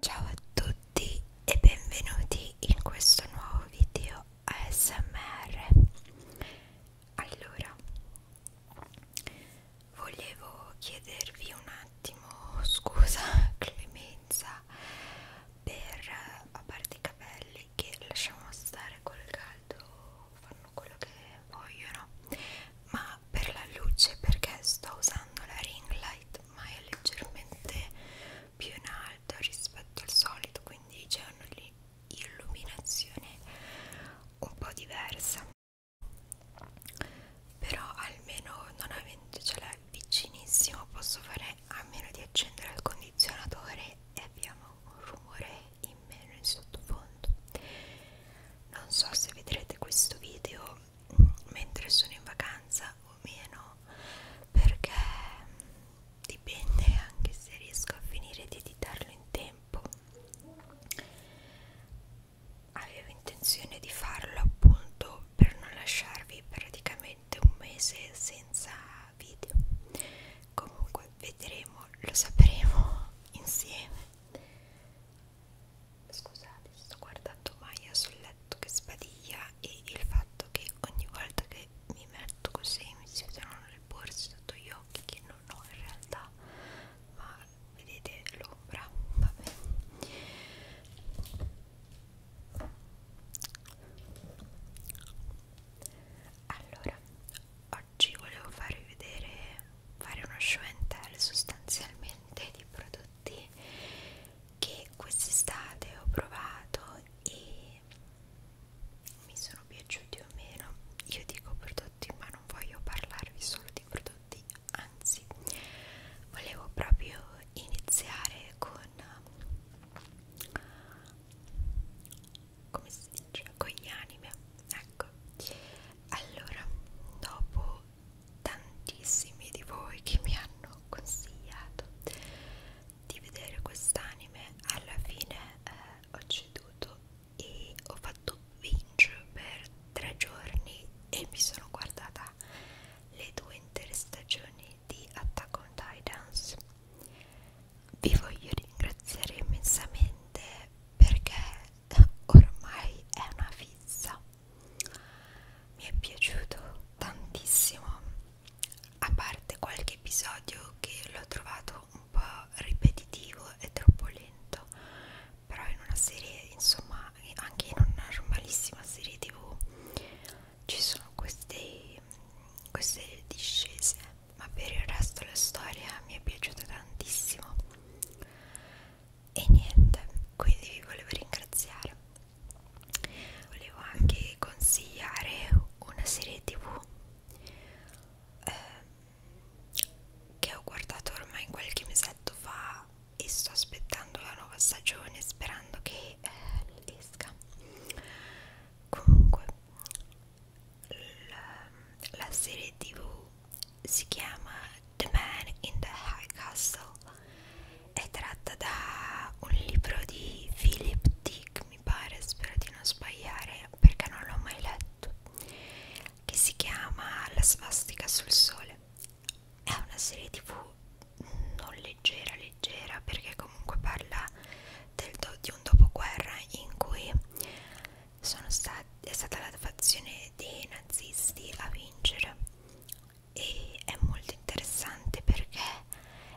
Ciao a tutti e benvenuti in questo nuovo video ASMR. Allora, volevo chiedervi un attimo scusa, clemenza per a parte i capelli che lasciamo stare col caldo, fanno quello che vogliono, ma per la luce perché sto usando la ring light light ma è leggermente più in alto rispetto al solito quindi c'è un'illuminazione un po' diversa però almeno non avendo ce cioè, l'ha vicinissimo posso fare a meno di accendere il condizionatore e abbiamo un rumore in meno in sottofondo non so se vedrete questo video mentre sono in vacanza o meno perché dipende anche se riesco a finire di editarlo in tempo avevo intenzione di farlo appunto per non lasciarvi praticamente un mese senza video comunque vedremo lo sapremo insieme Scusate, sto guardando Maya sul letto che sbadiglia e il fatto che ogni volta che mi metto così mi si vedono le borse sotto gli occhi che non ho in realtà, ma vedete l'ombra, vabbè. Allora, oggi volevo farvi vedere, fare uno show and tell sostanzialmente di prodotti che quest'estate ho provato e mi sono piaciuti o meno io dico prodotti ma non voglio parlarvi solo di prodotti anzi volevo proprio iniziare con come si dice con gli anime ecco allora dopo tantissimi di voi che mi hanno consigliato di vedere quest'anime alla fine eh, ho ceduto e ho fatto binge per tre giorni e mi sono guardata le due intere stagioni di Attack on Titans vi voglio ringraziare immensamente perché ormai è una fissa mi è piaciuto tantissimo a parte qualche episodio che l'ho trovato un po' ripetitivo e troppo lento però in una serie insomma anche in una normalissima serie tv ci sono queste, queste discese ma per il resto la storia mi è piaciuta tantissimo e niente quindi vi volevo ringraziare volevo anche consigliare una serie tv eh, che ho guardato ormai qualche mesetto fa e sto aspettando la nuova stagione sperando che eh, esca comunque la, la serie tv si chiama The Man in the High Castle è tratta da un libro di Philip Dick, mi pare, spero di non sbagliare perché non l'ho mai letto, che si chiama La svastica sul sole. È una serie tv non leggera, leggera, perché comunque parla del do, di un dopoguerra in cui sono stati, è stata la fazione dei nazisti a vincere e è molto interessante perché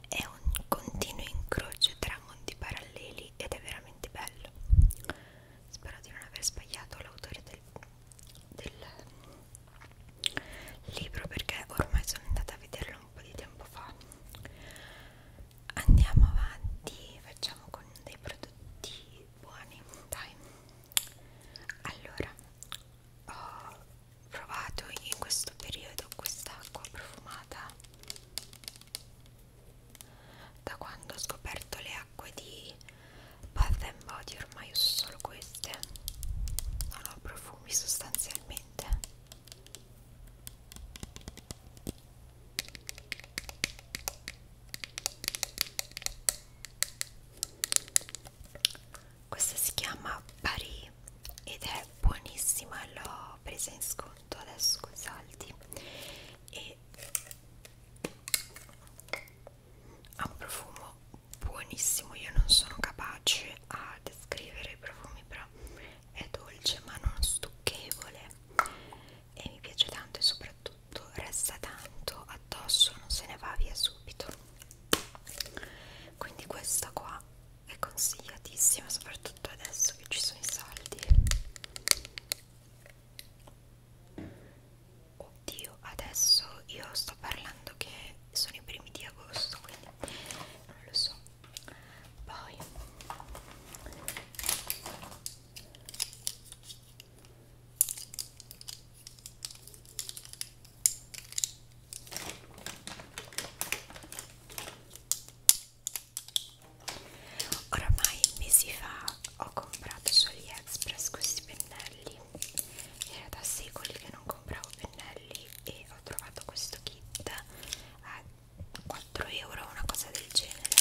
è un continuo incrocio tra mondi paralleli ed è veramente bello spero di non aver sbagliato l'autore del, del libro perché ormai sono andata a vederlo un po' di tempo fa andiamo avanti facciamo con dei prodotti buoni dai allora ho provato in questo periodo quest'acqua profumata da quando ho scoperto le acque di Bath and Body ormai uso solo queste non ho profumi sostanzialmente questa si chiama Paris ed è buonissima l'ho presa in sconto adesso con saldi e ha un profumo buonissimo io non sono capace a descrivere i profumi però è dolce ma non stucchevole e mi piace tanto e soprattutto resta tanto addosso non se ne va via subito quindi questa qua è consigliatissima soprattutto adesso che ci sono i saldi oddio adesso io sto parlando che sono i primi di agosto quindi non lo so poi Ormai mesi fa ho comprato su AliExpress questi pennelli. Era da secoli che non compravo pennelli e ho trovato questo kit a 4 euro, una cosa del genere.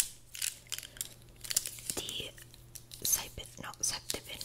Di 6 no, 7 pennelli.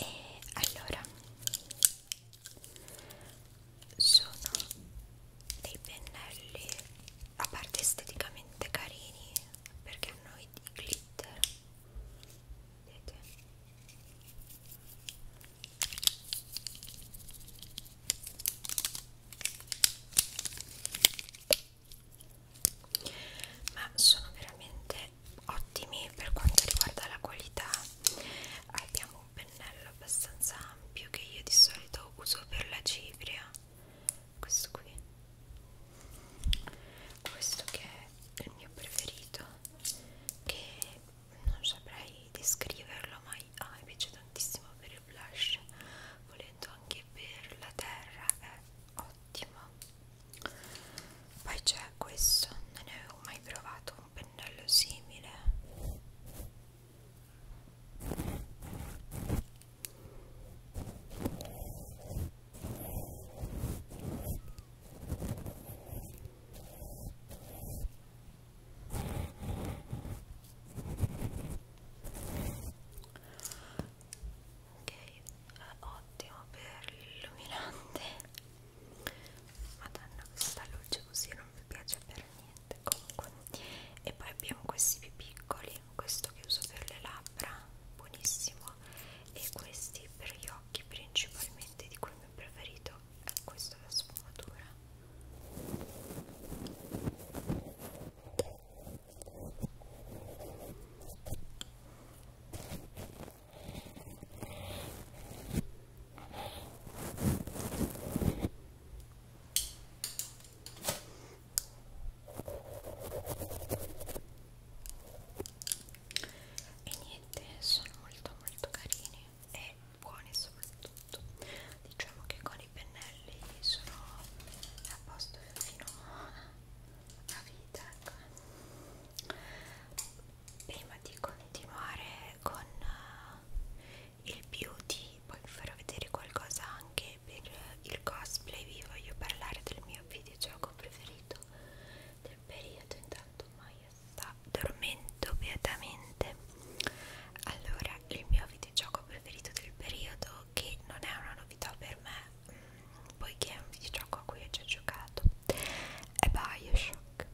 e allora sono dei pennelli a parte esteticamente carini perché hanno i glitter vedete ma sono veramente ottimi per quanto riguarda la qualità abbiamo un pennello abbastanza ampio che io di solito uso per la cipria questo qui questo che è il mio preferito che non saprei descriverlo ma ah, mi piace tantissimo per il blush volendo anche per la terra è ottimo poi c'è questo non ne avevo mai provato un pennello simile ok eh, ottimo per l'illuminante madonna questa luce così non mi piace per niente comunque e poi abbiamo questi più piccoli questo che uso per le labbra buonissimo e questi per gli occhi principalmente di cui il mio preferito è questo la sfumatura e niente sono molto molto carini e buoni soprattutto diciamo che con i pennelli sono a posto fino a vita ecco prima di continuare con eh, il beauty poi vi farò vedere qualcosa anche per il cosplay vi voglio parlare del mio videogioco preferito del periodo intanto Maya sta dormendo beatamente allora il mio videogioco preferito del periodo che non è una novità per me poiché è un videogioco a cui ho già giocato è Bioshock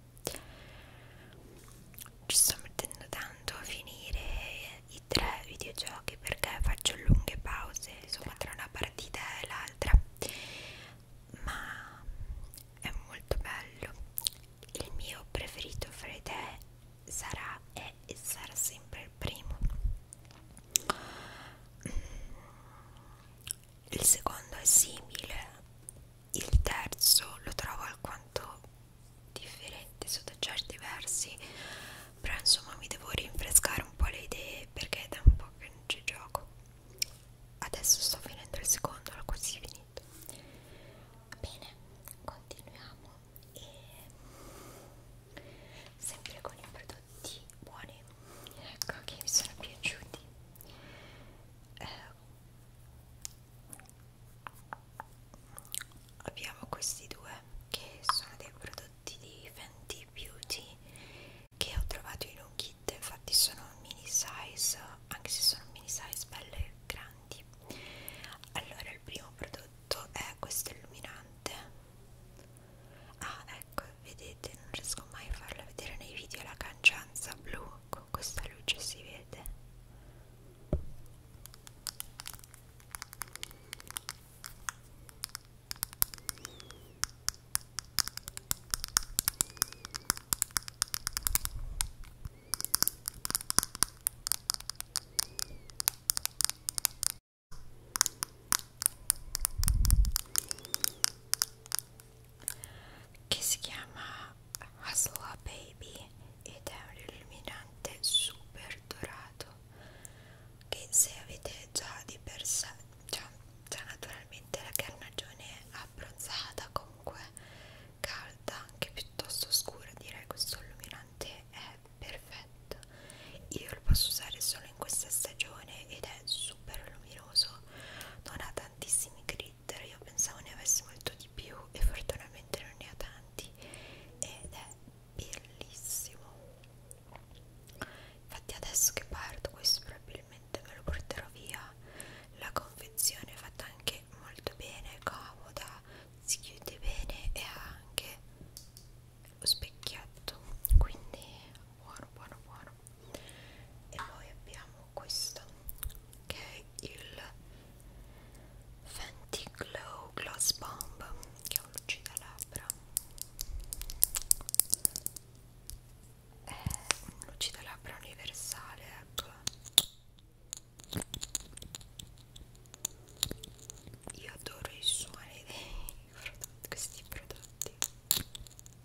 ci sto mettendo tanto a finire i tre videogiochi perché faccio lunghe pause insomma tra una partita e l'altra ma è molto bello il mio preferito fra i tre sarà è, e sarà sempre il primo il secondo è simile, il terzo lo trovo alquanto differente sotto certi versi, però insomma mi devo rinfrescare un po' le idee perché è da un po' che non ci gioco. Adesso sto finendo il secondo, l'ho quasi finito. Bene, continuiamo e sempre con il prodotto prodotti buoni ecco che mi sono piaciuti eh, abbiamo questi due che sono dei prodotti di Fenty Beauty che ho trovato in un kit infatti sono mini size anche se sono mini size belle grandi allora il primo prodotto è questo illuminante ah ecco vedete non riesco mai a farla vedere nei video la cangianza blu con questa luce si vede che si chiama Hasla Baby ed è un illuminante super dorato che se avete già di per sé già, già naturalmente la carnagione abbronzata comunque calda anche piuttosto scura direi questo illuminante è perfetto io lo posso usare solo in questa stagione ed è è super luminoso non ha tantissimi glitter io pensavo ne avesse molto di più e fortunatamente non ne ha tanti ed è bellissimo infatti adesso che parto questo probabilmente me lo porterò via la confezione è fatta anche molto bene comoda si chiude bene e ha anche lo specchietto quindi buono buono buono e poi abbiamo questo che è il Fenty Glow Gloss Bomb che è un lucidallabbra è un lucidallabbra universale ecco io adoro i suoni di questi prodotti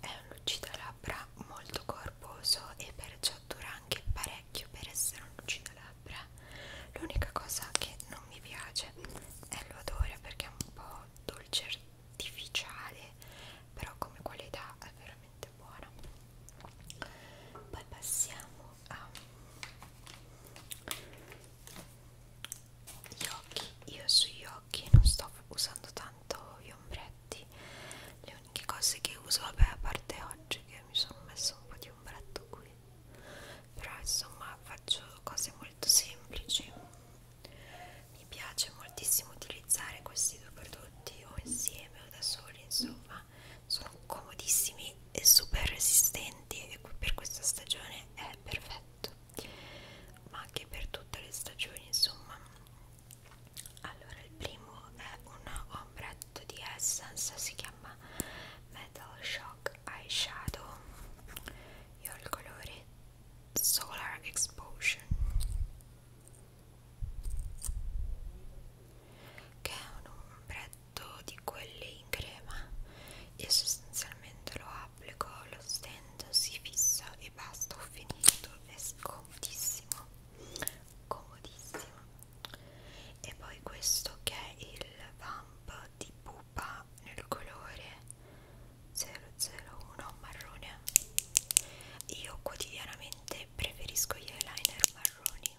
È un lucidalabbra molto corposo e perciò dura anche parecchio per essere un lucidalabbra. L'unica cosa che non mi piace è l'odore perché è un po' dolce artificiale, però come qualità è veramente buona. Poi passiamo a gli occhi io sugli occhi non sto usando tanto gli ombretti le uniche cose che uso vabbè a parte oggi che mi sono messo un po' di ombretto qui però insomma faccio cose molto semplici mi piace moltissimo utilizzare questi due prodotti o insieme o da soli insomma sono comodissimi e super resistenti e per questa stagione è perfetto ma anche per tutte le stagioni insomma allora il primo è un ombretto di Essence si chiama Metal Shock Eyeshadow io ho il colore Solar Explosion che è un ombretto di quelli in crema io sostanzialmente lo applico lo stand si fissa e basta ho finito è comodissimo comodissimo e poi questo che è il vamp di pupa nel colore 001 marrone io quotidianamente preferisco gli eyeliner marroni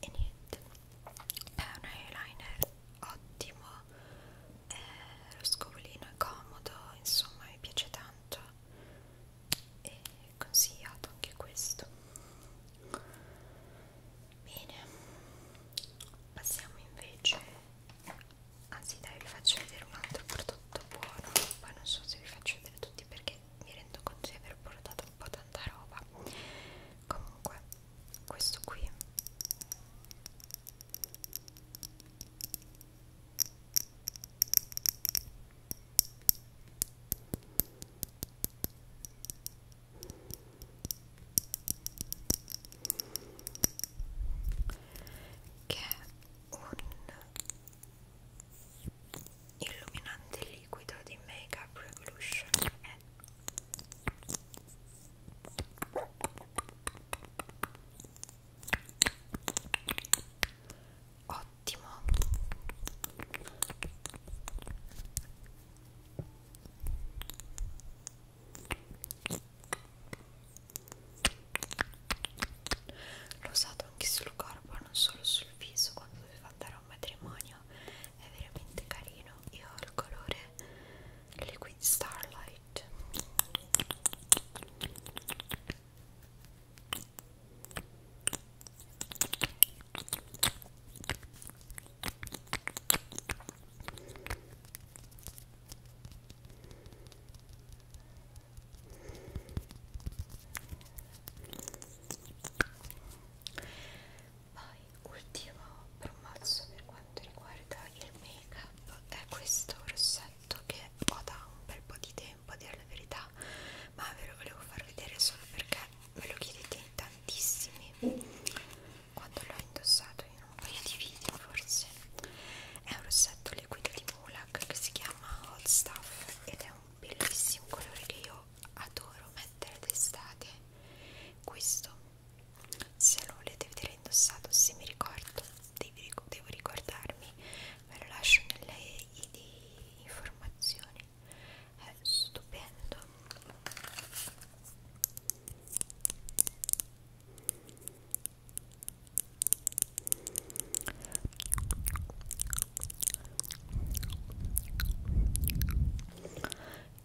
e niente è un eyeliner ottimo eh, lo scovolino è comodo insomma mi piace tanto e consigliato anche questo bene passiamo invece anzi dai vi faccio vedere un altro prodotto buono poi non so se vi faccio vedere tutti perché mi rendo conto di aver portato un po' tanta roba comunque questo qui che è un illuminante liquido di Makeup Revolution è Ottimo. L'ho usato anche sul corpo, non solo sul viso, quando doveva andare per un matrimonio è veramente carino io ho il colore liquid starlight poi ultimo promosso per quanto riguarda il make up è questo rossetto che ho da un bel po' di tempo a dire la verità ma ve lo volevo far vedere solo perché me lo chiedete in tantissimi quando l'ho indossato in un paio di video forse è un rossetto liquido di Mulak che si chiama Hot Stuff ed è un bellissimo colore che io adoro mettere d'estate questo se lo volete vedere indossato se mi ricordo devo ricordarmi ve lo lascio nelle informazioni è stupendo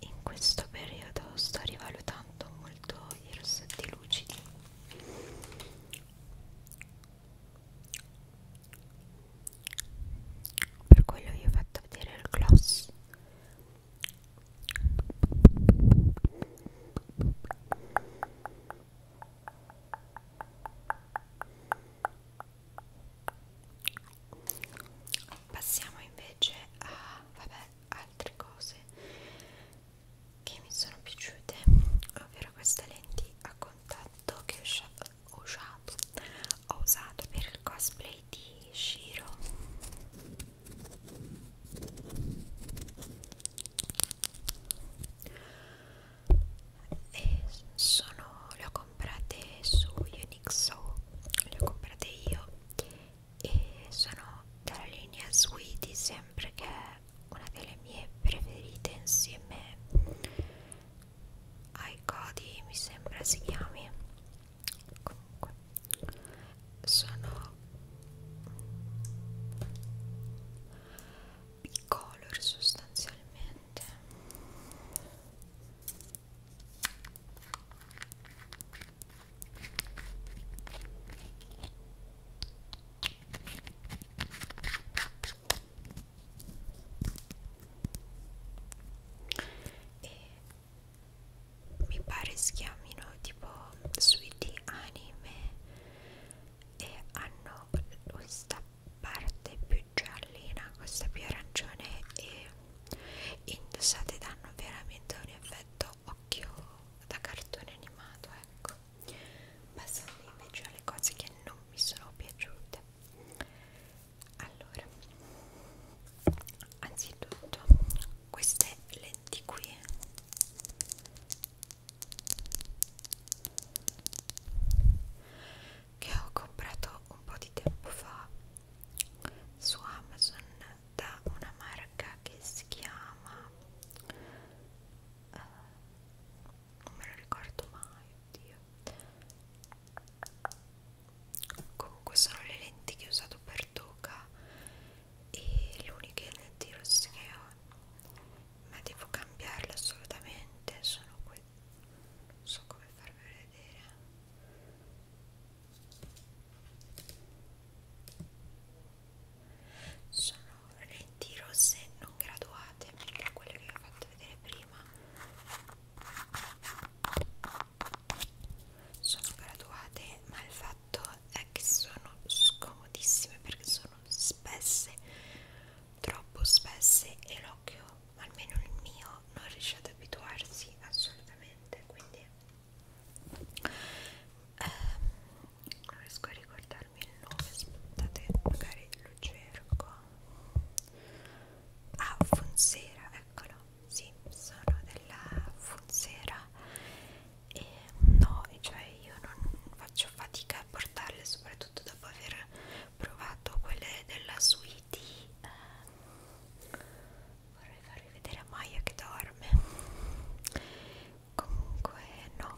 in questo periodo sto rivalutando molto i rossetti lucidi per quello vi ho fatto vedere il gloss passiamo invece a vabbè, altre cose che mi sono piaciute ovvero queste lenti a contatto che ho usato, ho usato per il cosplay di Shiro e sono, le ho comprate su Unixo, le ho comprate io e sono dalla linea Sweetie sempre che è una delle mie preferite insieme ai Cody mi sembra si chiami comunque sono bicolor sostanzialmente e mi pare si chiamino tipo Sweetie Anime e hanno questa parte più giallina, questa più arancione e indossati danno veramente un effetto occhio da cartone animato ecco passando invece alle cose che non mi sono piaciute allora anzitutto queste lenti qui che ho comprato un po' di tempo fa su Amazon da una marca che si chiama uh, non me lo ricordo mai oddio comunque sono le lenti che ho usato per Toca e le uniche lenti rosse che ho ma devo cambiarle assolutamente sono qui non so come farvele vedere sono lenti rosse non graduate perché quelle che vi ho fatto vedere prima sono graduate ma il fatto è che sono scomodissime perché sono spesse troppo spesse e l'occhio almeno il mio non riesce ad abituarsi assolutamente veramente quindi ehm, non riesco a ricordarmi il nome aspettate magari lo cerco ah Fonsera eccolo sì sono della Fonsera e no cioè io non faccio fatica a portarle soprattutto dopo aver provato quelle della suite eh, vorrei farvi vedere Maya che dorme comunque no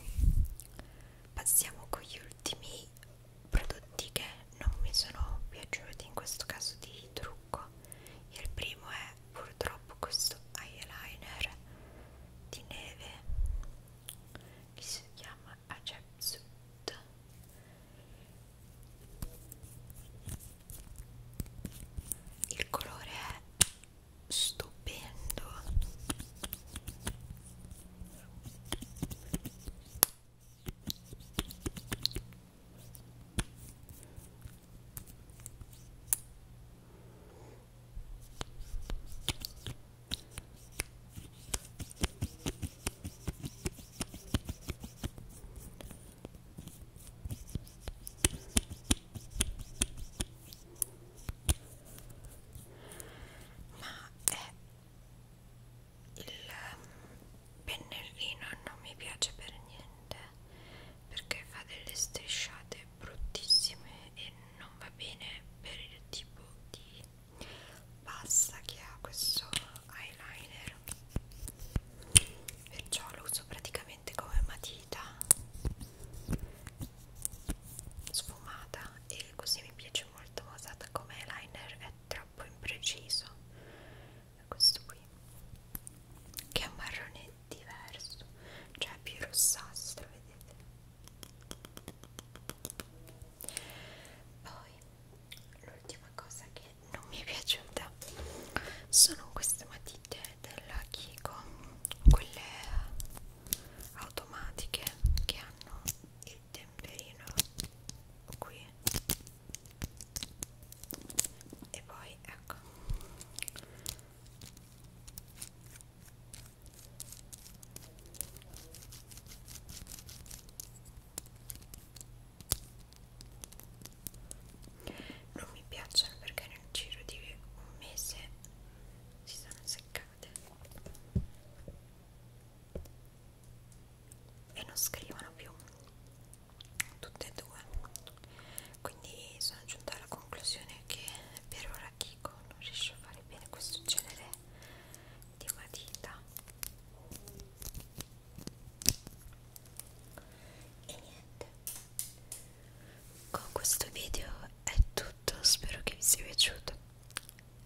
passiamo con gli ultimi prodotti che non mi sono piaciuti in questo caso di trucco il primo è purtroppo questo eyeliner di neve che si chiama Ajepsut il colore è stupendo ma è il pennellino non mi piace per niente perché fa delle strisciate bruttissime e non va bene per il tipo di pasta che ha questo eyeliner perciò lo uso praticamente come matita sfumata e così mi piace molto ma usata come eyeliner è troppo impreciso è questo qui che è un marrone diverso cioè più rossastro vedete poi l'ultima cosa che non mi è piaciuta sono queste matite della Kiko quelle automatiche che hanno il temperino qui e poi ecco non mi piacciono perché nel giro di un mese si sono seccate e non scrivono più tutte e due quindi sono giunta alla conclusione che per ora Kiko non riesce a fare bene questo genere di matita e niente con questo video è tutto spero che vi sia piaciuto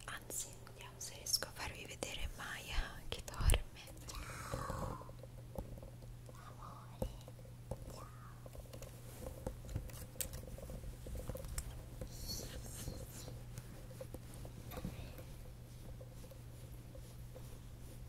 anzi vediamo se riesco a farvi vedere Maya che dorme ciao amore ciao